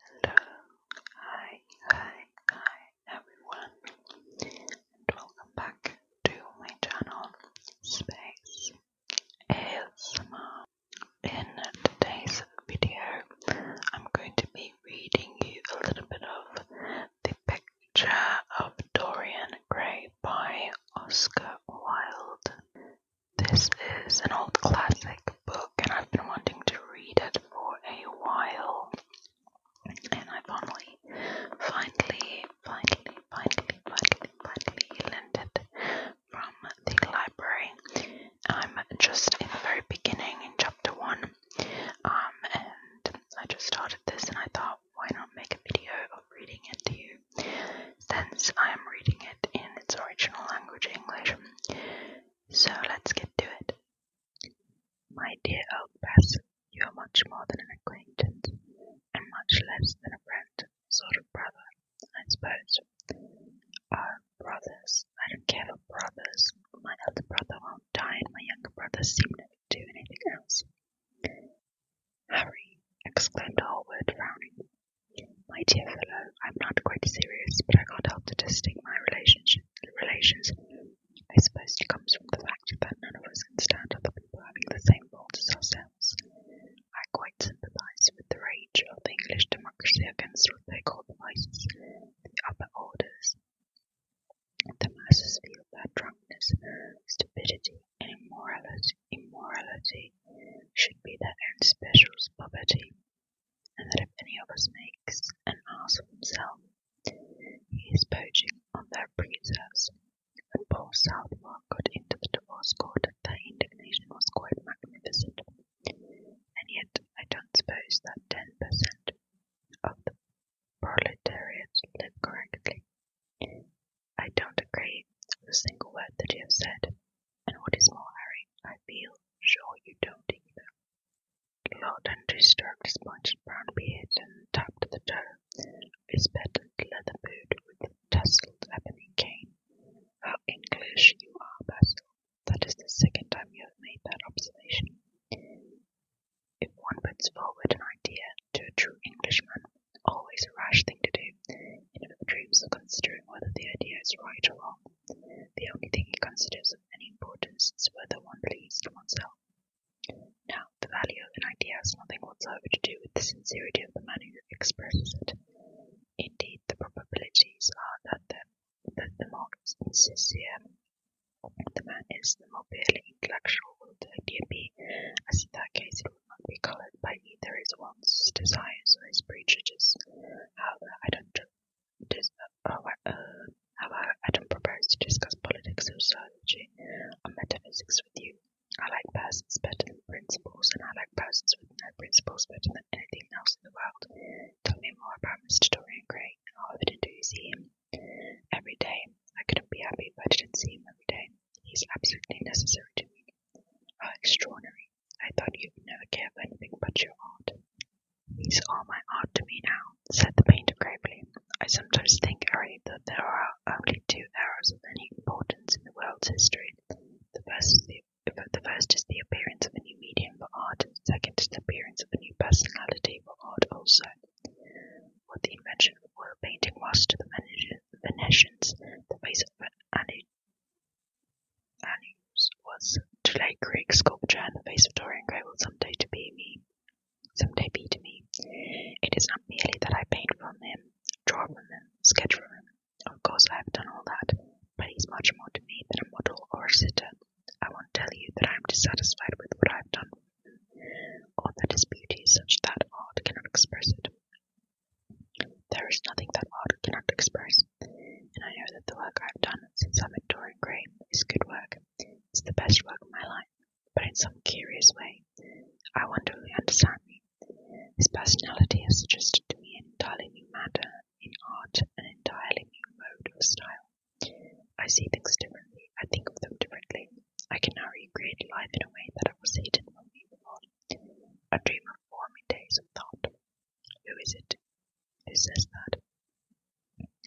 Hello, uh, hi, hi, hi everyone, and welcome back to my channel Space ASMR. In today's video, I'm going to be reading you a little bit of The Picture of Dorian Gray by Oscar Wilde. This is an old classic book, and I've been wanting to read it for a while. And I finally, finally, finally, finally, finally, finally lent it from the library. I'm just in the very beginning in chapter one, um, and I just started this, and I thought, why not make a video of reading it to you, since I am reading it in its original language, English. So let's get to it. My dear old Bess, you are much more than an acquaintance, and much less than a friend, sort of brother, I suppose. Oh, brothers, I don't care for brothers. My elder brother won't die, and my younger brother seem never to do anything else. Harry, exclaimed Hallward, frowning, my dear fellow, I'm not quite serious, but I can't help detesting my relations. I suppose it comes from the fact that none of us can stand other people having the same faults as ourselves. I quite sympathise with the rage of the English democracy against what they call the vices, the upper orders. The masses feel that drunkenness, stupidity, and immorality, should be their own special property and that if any of us makes an ass of himself, he is poaching on their preserves. When poor Southwark got into the divorce court, their indignation was quite magnificent. And yet, I don't suppose that ten per cent of the proletariat live correctly. I don't agree with a single word that you have said, and what is more worrying, I feel sure you don't either. Lawton stroked his pointed brown beard and tapped the toe his patent leather boot with a tousled ebony cane. How English you are, Basil. That is the second time you have made that observation. If one puts forward an idea to a true Englishman, always a rash thing to do, even if dreams of considering whether the idea is right or wrong the only thing he considers of any importance is whether one pleases oneself. Now, the value of an idea has nothing whatsoever to do with the sincerity of the man who expresses it. Indeed, the probabilities are that the, more sincere the man is, the more purely intellectual will the idea be, as in that case it will not be coloured by either his one's desires, or his prejudices however, I don't dis- oh, uh, uh, however, I don't propose to discuss politics, sociology, or metaphysics with you. I like persons better than principles, and I like persons with no principles better than anything else in the world. Tell me more about Mr. Dorian Gray and how often do you see him? Every day. I couldn't be happy if I didn't see him every day. He's absolutely necessary to me. How extraordinary. I thought you'd never care for anything but your art. These are my art to me now, said the painter gravely. I sometimes think, Harry, that there are only two eras of any importance in the world's history. The first is the, appearance of a new medium for art, and the second is the appearance of a new personality for art also. What the invention of oil painting was to the Venetians, the face of Anneus was to lay Greek sculpture and the face of Dorian Gray will someday to be me, someday be to me. It is not merely that I paint from him, draw from him, sketch from him. Of course I have done all that, but he is much more to me than a model or a sitter. I won't tell you that I am dissatisfied with what I have done, or that his beauty such that art cannot express it. There is nothing that art cannot express, and I know that the work I have done since I met Dorian Gray is good work. It's the best work of my life, but in some curious way, I wonder who understand me. His personality has suggested to me an entirely new matter in art, an entirely new mode of style. I see things differently, I think of them differently. I can now recreate life in a way that I was hidden from me before. I dream of forming days of thought. Who is it? Who says that?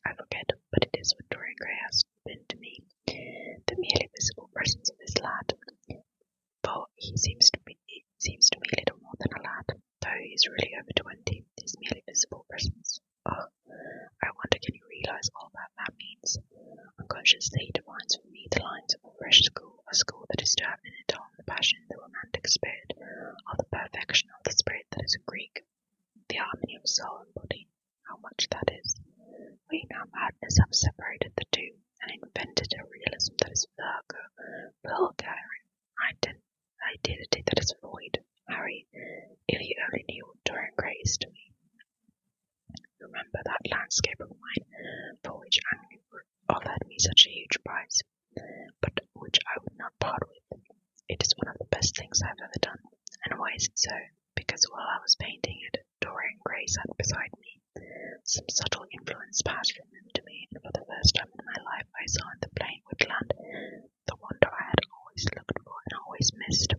I forget, but it is what Dorian Gray has been to me. The merely visible presence of this lad, for he seems to be seems to me little more than a lad, though he is really over twenty. His merely visible presence. Oh, I wonder can you realise all that that means? Unconsciously, he defines for me the lines of a fresh school, a school that is to have in it all the passion the romantic spirit, or the perfection of the spirit that is Greek, the harmony of soul and body, how much that is. We now madness have separated the two and invented a realism that is vulgar, vulgar, and identity that is void. Harry, if you only knew what Dorian Gray is to me. Remember that landscape of mine for which Angling offered me such a huge prize, but which I would not part with. It is one of the best things I have ever done. And why is it so? Because while I was painting it, Dorian Gray sat beside me. Some subtle influence passed from them to me, and for the first time in my life, I saw in the plain woodland the wonder I had always looked for and always missed.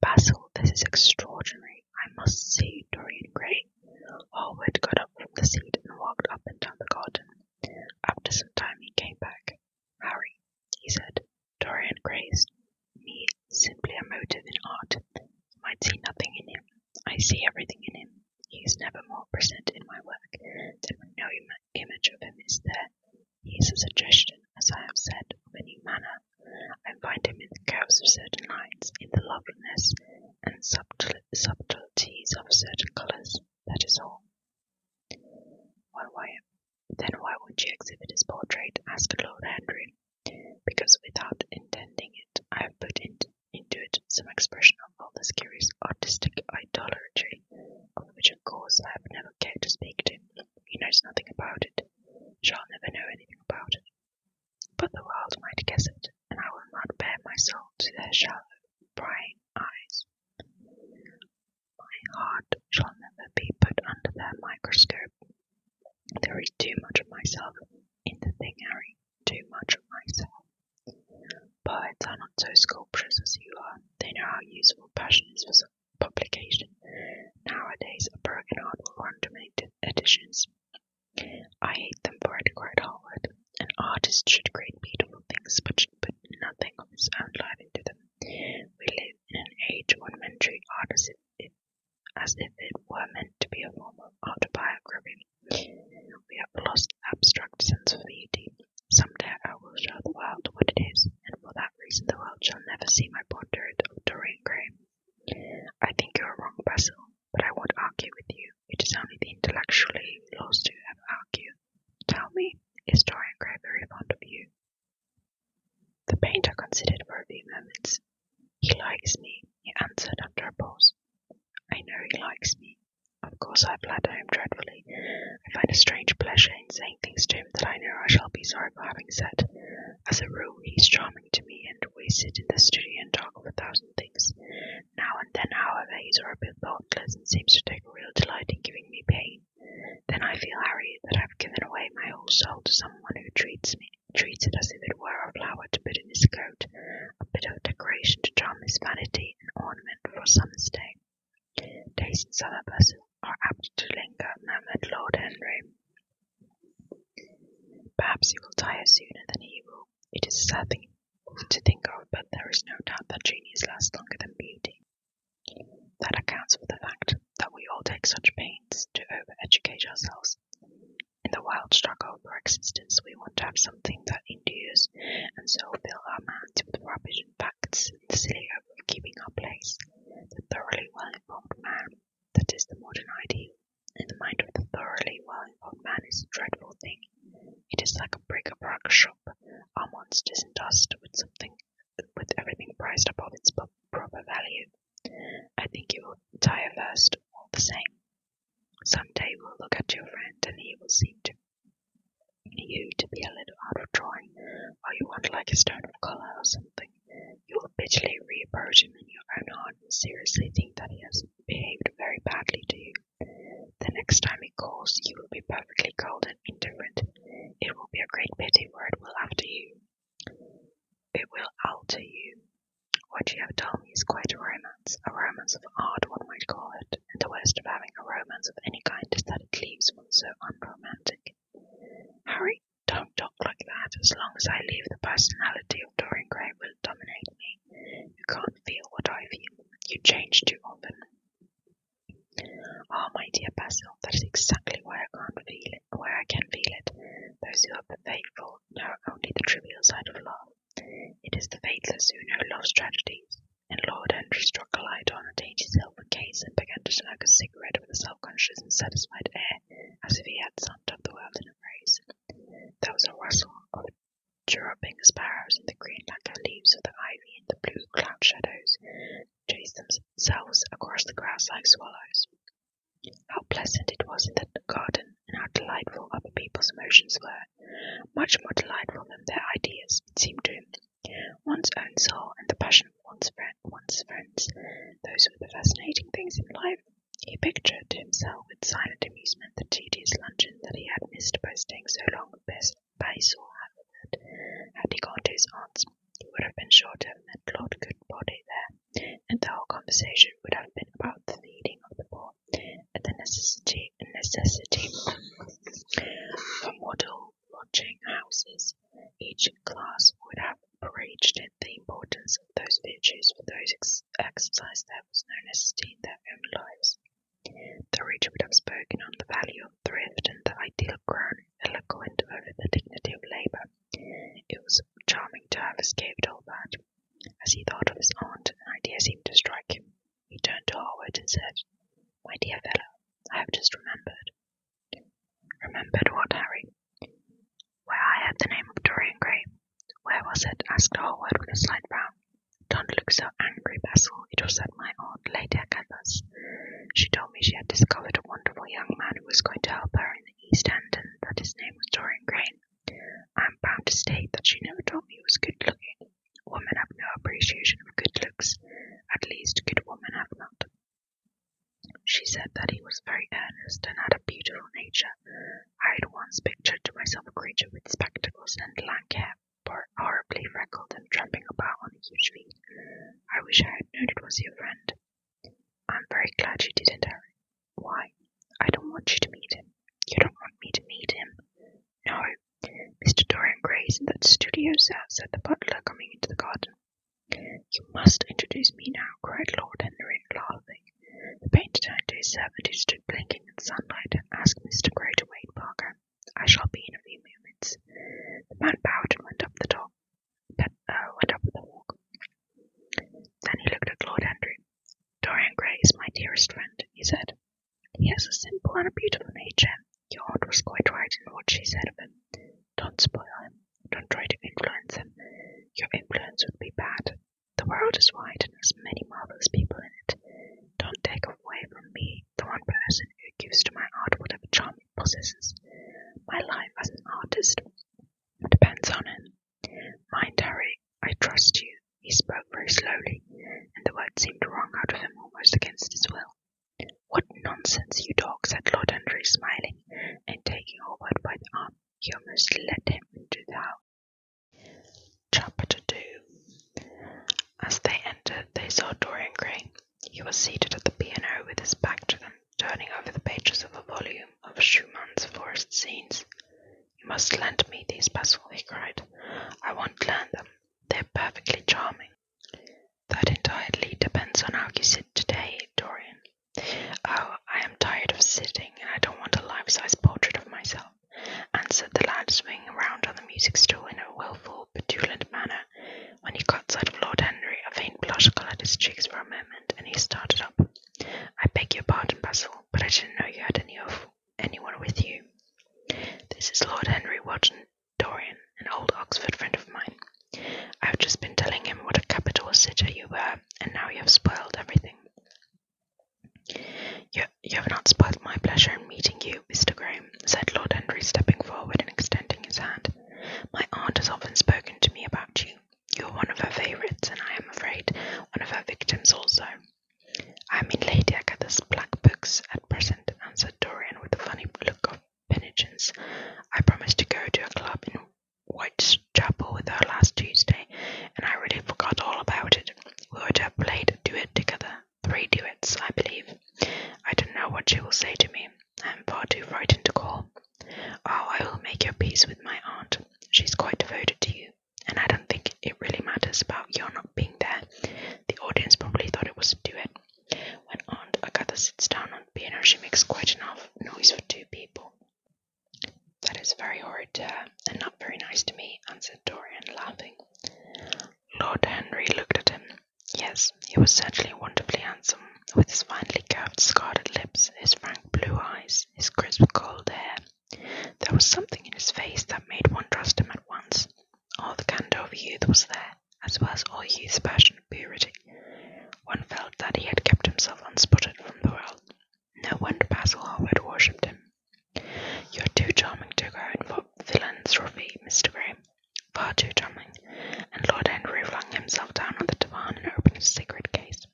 Basil, this is extraordinary. I must see Dorian Gray. Harwood oh, got up from the seat and walked up and down the garden. After some time he came back. Harry, he said, Dorian Gray's me simply a motive in art. You might see nothing in him. I see everything in him. He is never more present in my work than when no image of him is there. He is a suggestion, as I have said, of a new manner. I find him in the curves of certain lines, in the loveliness and subtlety." subtleties of certain colors, that is all. Why, then why would not you exhibit his portrait? asked Lord Henry. Because without intending it, I have put into it some expression of all this curious artistic idolatry, of which, of course, I have never cared to speak to him. He knows nothing about it, shall never know anything about it. But the world might guess it, and I will not bare my soul to their shallow, prying eyes. My heart shall never be put under their microscope. There is too much of myself in the thing, Harry, too much of myself. Poets are not so sculptors as you are. They know how useful passion is for publication. Nowadays, a broken heart will run to many editions. I hate them for it, cried Howard. An artist should create beautiful things, but should put nothing of his own life into them. We live in an age when men treat art as if it, were meant to be a form of autobiography. We have lost the abstract sense of beauty. Someday I will show the world what it is, and for that reason the world shall never see my portrait of Dorian Gray. I think you are wrong, Basil, but I won't argue with you. It is only the intellectually lost who ever argue. Tell me, is Dorian Gray very fond of you? The painter considered for a few moments. He likes me, he answered after a pause. I know he likes me. Of course, I flatter him dreadfully. I find a strange pleasure in saying things to him that I know I shall be sorry for having said. As a rule, he is charming to me, and we sit in the studio and talk for thousands. Now and then, however, he's a bit thoughtless and seems to take a real delight in giving me pain. Then I feel, Harry, that I've given away my whole soul to someone who treats me it as if it were a flower to put in his coat, a bit of decoration to charm his vanity, an ornament for some summer's day. Tastes in other persons are apt to linger, murmured Lord Henry. Perhaps he will die sooner than he will it is a sad thing to think of, but there is no doubt that genius lasts longer than beauty. That accounts for the fact that we all take such pains to over-educate ourselves. In the wild struggle for existence, we want to have something that endures, and so fill our minds with rubbish and facts in the silly hope of keeping our place. The thoroughly well-informed man, that is the modern ideal, in the mind of the thoroughly well-informed man is a dreadful thing. It is like a bric-a-brac shop. a monsters dust with something, with everything priced above its proper value. I think you will tire first, all the same. Some day we'll look at your friend, and he will seem to you to be a little out of drawing, or you will want like a stone of colour or something. You will bitterly reproach him in your own heart seriously think that he has behaved very badly to you. The next time he calls, you will be perfectly cold and indifferent. It will be a great pity, for it will after you. It will alter you. What you have told me is quite a romance, a romance of art, one might call it, and the worst of having a romance of any kind is that it leaves one so unromantic. Harry, don't talk like that. As long as I leave the personality of Dorian Gray dominate me. You can't feel what I feel. You change too often. Ah, my dear Basil, that is exactly why I can't feel it, why I can feel it. Those who are faithful know only the trivial side of love. It is the faithless who know love's tragedies. And Lord Henry struck a light on a ate silver case and began to smoke a cigarette with a self-conscious and satisfied air, as if he had summed up the world in a phrase. There was a rustle of chirruping sparrows in the green lacquer leaves of the ivy and the blue cloud shadows chased themselves across the grass like swallows. How pleasant it was in the garden, and how delightful other people's emotions were, much more delightful than their ideas, it seemed to him. One's own soul and the passion for one's friends, those were the fascinating things in life. He pictured to himself with silent amusement the tedious luncheon that he had missed by staying so long at Bayswater Haverford. Had he gone to his aunt's, he would have been sure to have met Lord Goodbody there, and the whole conversation would have been about the feeding of the poor, and the necessity necessity for model lodging houses. Each class would have outraged the importance of those virtues for those ex- exercised them was no necessity in their own lives. The reader would have spoken on the value of thrift and the ideal crown, eloquent over the dignity of labour. It was charming to have escaped all that. As he thought of his aunt, an idea seemed to strike him. He turned to Howard and said, My dear fellow, I have just remembered. Remembered what, Harry? Where I had the name of Dorian Gray. Where was it? asked Howard with a slight frown. Don't look so angry, Basil. It was at my aunt, Lady Agatha's. She told me she had discovered a wonderful young man who was going to help her in the East End, and that his name was Dorian Gray. I am bound to state that she never told me he was good looking. Women have no appreciation of good looks. At least, good women have not. She said that he was very earnest and had a beautiful nature. I had once pictured to myself a creature with spectacles and lank hair, horribly freckled and tramping about on a huge feet. I wish I had known it was your friend. I'm very glad you didn't, Harry. Why? I don't want you to meet him. You don't want me to meet him? No. Mr. Dorian Gray is in that studio, sir, said the butler, coming into the garden. "You must introduce me now," cried Lord Henry, laughing. The painter turned to his servant, who stood blinking in the sunlight, and asked Mr. Grey to wait, Parker. "I shall be in a few moments." The man bowed and went up the uh, walk. Then he looked at Lord Henry. "Dorian Gray is my dearest friend," he said. "He has a simple and a beautiful nature. Your aunt was quite right in what she said of him. Don't spoil him. Don't try to influence him. Your influence would be bad. The world is wide and has many marvelous people in it. Don't take away from me the one person who gives to my art whatever charm it possesses. My life as an artist depends on him. Mind, Harry, I trust you. He spoke very slowly, and the words seemed to wrung out of him almost against his will. What nonsense, you dog, said Lord Henry, smiling and taking her by the arm. You must let him into the house. Chapter 2 As they entered, they saw Dorian Gray. He was seated at the piano with his back to them, turning over the pages of a volume of Schumann's forest scenes. You must lend me these, Basil, he cried. I want to learn them. They're perfectly charming. That entirely depends on how you sit today, Dorian, Oh, I am tired of sitting and I don't want a life size portrait of myself, answered the lad, swinging round on the music stool in a wilful, petulant manner. When he caught sight of Lord Henry, a faint blush coloured his cheeks for a moment and he started up. I beg your pardon, Basil, but I didn't know you had any of anyone with you. This is Lord Henry Wotton Dorian, an old Oxford friend of mine. I've just been telling him what a capital sitter you were, and now you have spoiled everything. You, have not spoiled my pleasure in meeting you, Mr. Graham, said Lord Henry, stepping forward and extending his hand. My aunt has often spoken to me about you. You are one of her favourites, and I am afraid one of her victims also. I am in Lady Agatha's black books at present, answered Dorian with a funny look of penitence. I promised to go to a club in Whitechapel with her last Tuesday, and I really forgot all about it. We were to have played a duet together, three duets, I believe. I don't know what she will say to me. I am far too frightened to call. Oh, I will make your peace with my aunt. She's quite devoted to you, and I don't think it really matters about your not being there. The audience probably thought it was a duet. When Aunt Agatha sits down on piano, she makes quite enough noise for two people. That is very horrid and not very nice to me, answered Dorian, laughing. Lord Henry looked at him. Yes, he was certainly wonderfully handsome, with his finely curved scarlet lips, his frank blue eyes, his crisp cold hair. There was something in his face that made one trust him at once. All the candour of youth was there, as well as all youth's passion and purity. One felt that he had kept himself unspotted from the world. No wonder Basil Howard worshipped him. You're too charming to go in for philanthropy, Mr. Graham. Far too charming. And Lord Henry flung himself down on the divan and opened his cigarette case.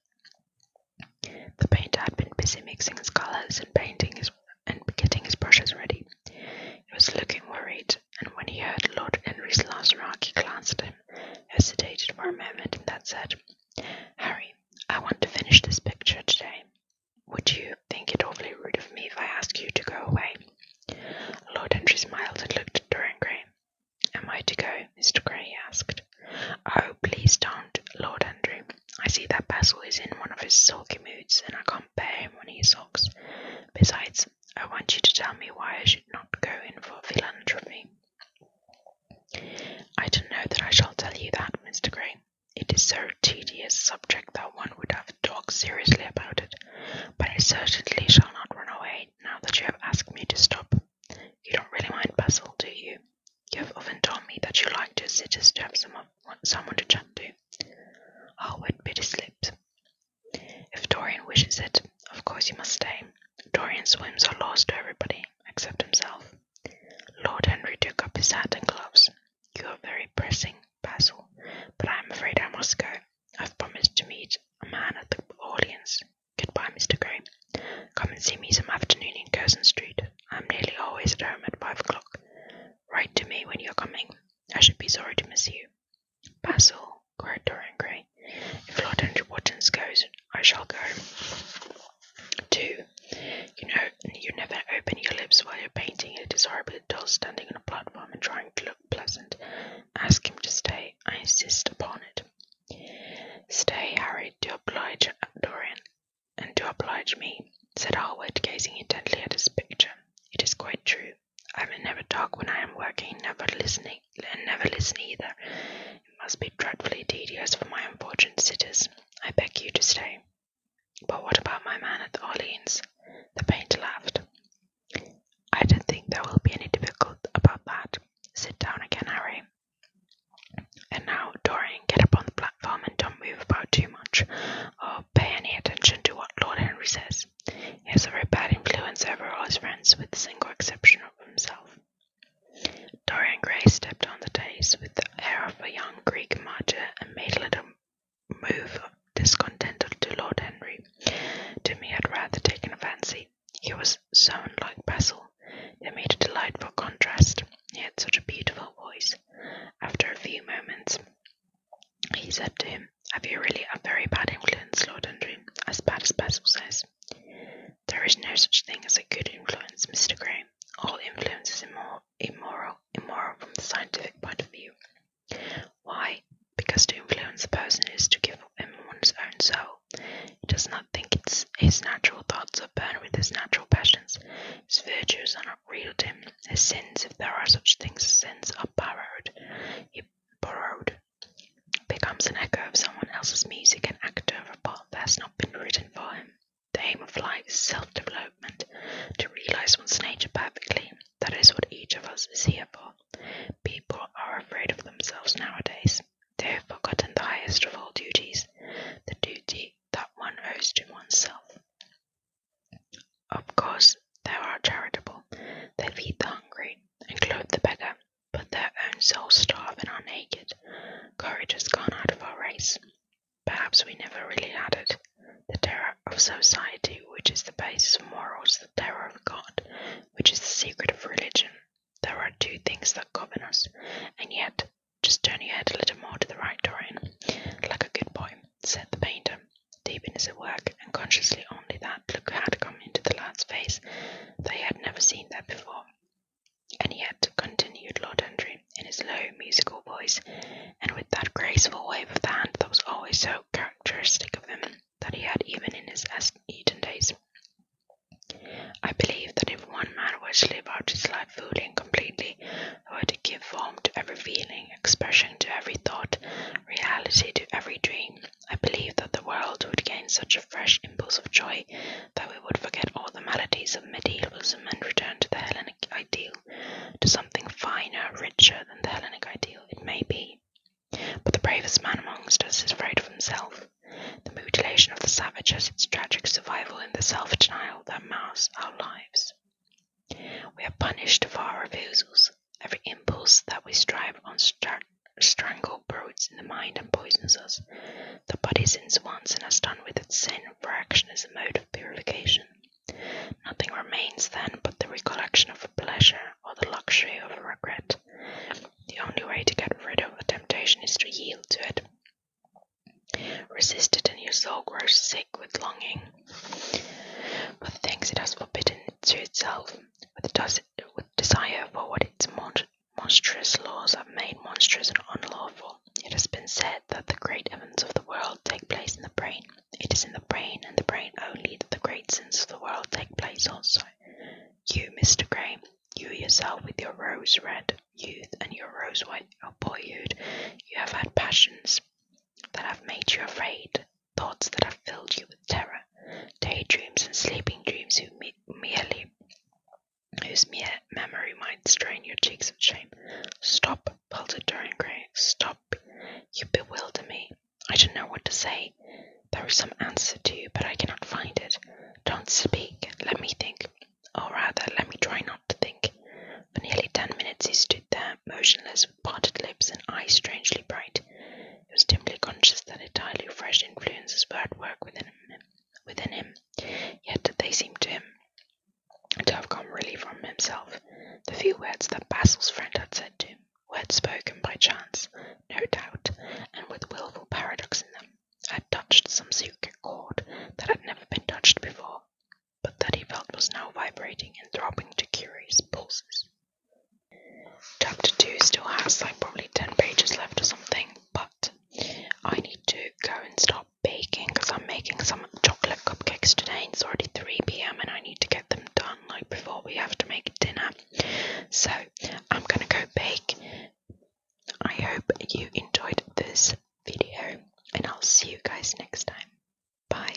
The painter had been busy mixing his colours and painting his and getting his brushes ready. He was looking worried, and when he heard Lord Henry's last remark, he glanced at him hesitated for a moment, and then said, Harry, I want to finish this picture today. Would you think it awfully rude of me if I asked you to go away? Lord Andrew smiled and looked at Dorian Gray. Am I to go, Mr. Gray? he asked. Oh, please don't, Lord Andrew. I see that Basil is in one of his sulky moods, and I can't bear him when he sulks. Besides, I want you to tell me why I should not go in for philanthropy. I don't know that I shall tell you that, Mr. Green. It is so tedious a subject that one would have to talk seriously about it, but I certainly shall not run away now that you have asked me to stop. You don't really mind Basil, do you? You have often told me that you like to sit to have someone, to chat to. Howard bit his lips. If Dorian wishes it, of course you must stay. Dorian's whims are laws to everybody except himself. Lord Henry took up his hat and gloves. You are very pressing, Basil, but I am afraid I must go. I've promised to meet a man at the audience. Goodbye, Mr. Grey. Come and see me some afternoon in Curzon Street. I'm nearly always at home at five o'clock. Write to me when you're coming. I should be sorry to miss you. Basil, cried Dorian Gray. If Lord Henry Watkins goes, I shall go. Two, you know, you never open your lips while you're painting. It is horribly doll standing on a platform and trying to look pleasant. Ask him to stay. I insist upon it. Stay, Harry, to oblige Dorian, and to oblige me, said Howard, gazing intently at his picture. It is quite true. I will never talk when I am working, never listening, and never listen either. It must be dreadfully tedious for my unfortunate sitters. I beg you to stay. But what about my man at Orleans? The painter laughed. I don't think there will be any difficulty about that. Sit down again, Harry. And now, Dorian, get up on the platform and don't move about too much, or pay any attention to what Lord Henry says. He has a very bad influence over all his friends, with the single exception of himself. Dorian Gray stepped on the dais with the air of a young Greek martyr and made little move of discontent to Lord Henry, to me, he had rather taken a fancy. He was so unlike Basil. They made a delightful contrast. He had such a beautiful voice. After a few moments, he said to him, have you really a very bad influence, Lord Andrew? As bad as Basil says. There is no such thing as a good influence, Mr. Grey. All influence is immoral, immoral, immoral from the scientific point of view. Why? Because to influence a person is to give him one's own soul. He does not think it's his natural thoughts are burned with his natural passions. His virtues are not real to him. His sins, if there are such things sins, are borrowed. He borrowed becomes an echo of someone else's music, and actor of a part that has not been written for him. The aim of life self development, to realize one's nature perfectly. That is what each of us is here for. People are afraid of themselves nowadays. They have forgotten the highest of all duties, the duty that one owes to oneself. Of course, they are charitable, they feed the hungry, and clothe the beggar, but their own souls starve and are naked. Courage has gone out of our race. Perhaps we never really had it. The terror of society, which is the basis of morals, the terror of God, which is the secret of religion. There are two things that govern us, and yet, just turn your head a little more to the right, Dorian, like a good boy, said the painter deep in his work, and consciously only that look had come into the lad's face, that he had never seen that before. And yet, continued Lord Andrew in his low, musical voice, and with that graceful wave of the hand that was always so characteristic of him, that he had even in his Eton days. I believe that if one man were to live out his life fully and completely, were to give form to every feeling, expression to every thought, reality to every dream, I believe that the world would gain such a fresh impulse of joy that we would forget all the maladies of medievalism and return to the Hellenic ideal, to something finer, richer than the Hellenic ideal, it may be. But the bravest man amongst us is afraid of himself. The mutilation of the savage has its tragic survival in the self denial that mars our lives. We are punished for our refusals, every impulse that we strive on strangle broods in the mind and poisons us. The body sins once and has done with its sin, for action is a mode of purification. Nothing remains then but the recollection of a pleasure or the luxury of a regret. The only way to get rid of a temptation is to yield to it. Resist it, and your soul grows sick with longing for things it has forbidden to itself with, desire for what its monstrous laws have made monstrous and unlawful. It has been said that the great events of the world take place in the brain. It is in the brain, and the brain only, that the great sins of the world take place also. You, Mr. Gray, you yourself with your rose red youth and your rose white boyhood, you have had passions that have made you afraid, thoughts that have filled you with terror, daydreams and sleeping dreams whose mere memory might strain your cheeks with shame. Stop, pelted Dorian Gray. Stop. You bewilder me. I don't know what to say. There is some answer to you, but I cannot find it. Don't speak. Let me think. Or rather, let me try not to think. For nearly ten minutes he stood there, motionless, parted lips and eyes strangely bright. He was dimly conscious that entirely fresh influences were at work within him, yet they seemed to him to have come really from himself. The few words that Basil's friend had said to him, words spoken by chance, no doubt, and with wilful paradox in them, had touched some secret chord that had never been touched before, but that he felt was now vibrating and throbbing to curious pulses. Chapter 2 still has like probably 10 pages left or something, but I need to go and start baking because I'm making some chocolate cupcakes today. It's already 3 pm and I need to get them done like before we have to make dinner. So I'm gonna go bake. I hope you enjoyed this video and I'll see you guys next time. Bye.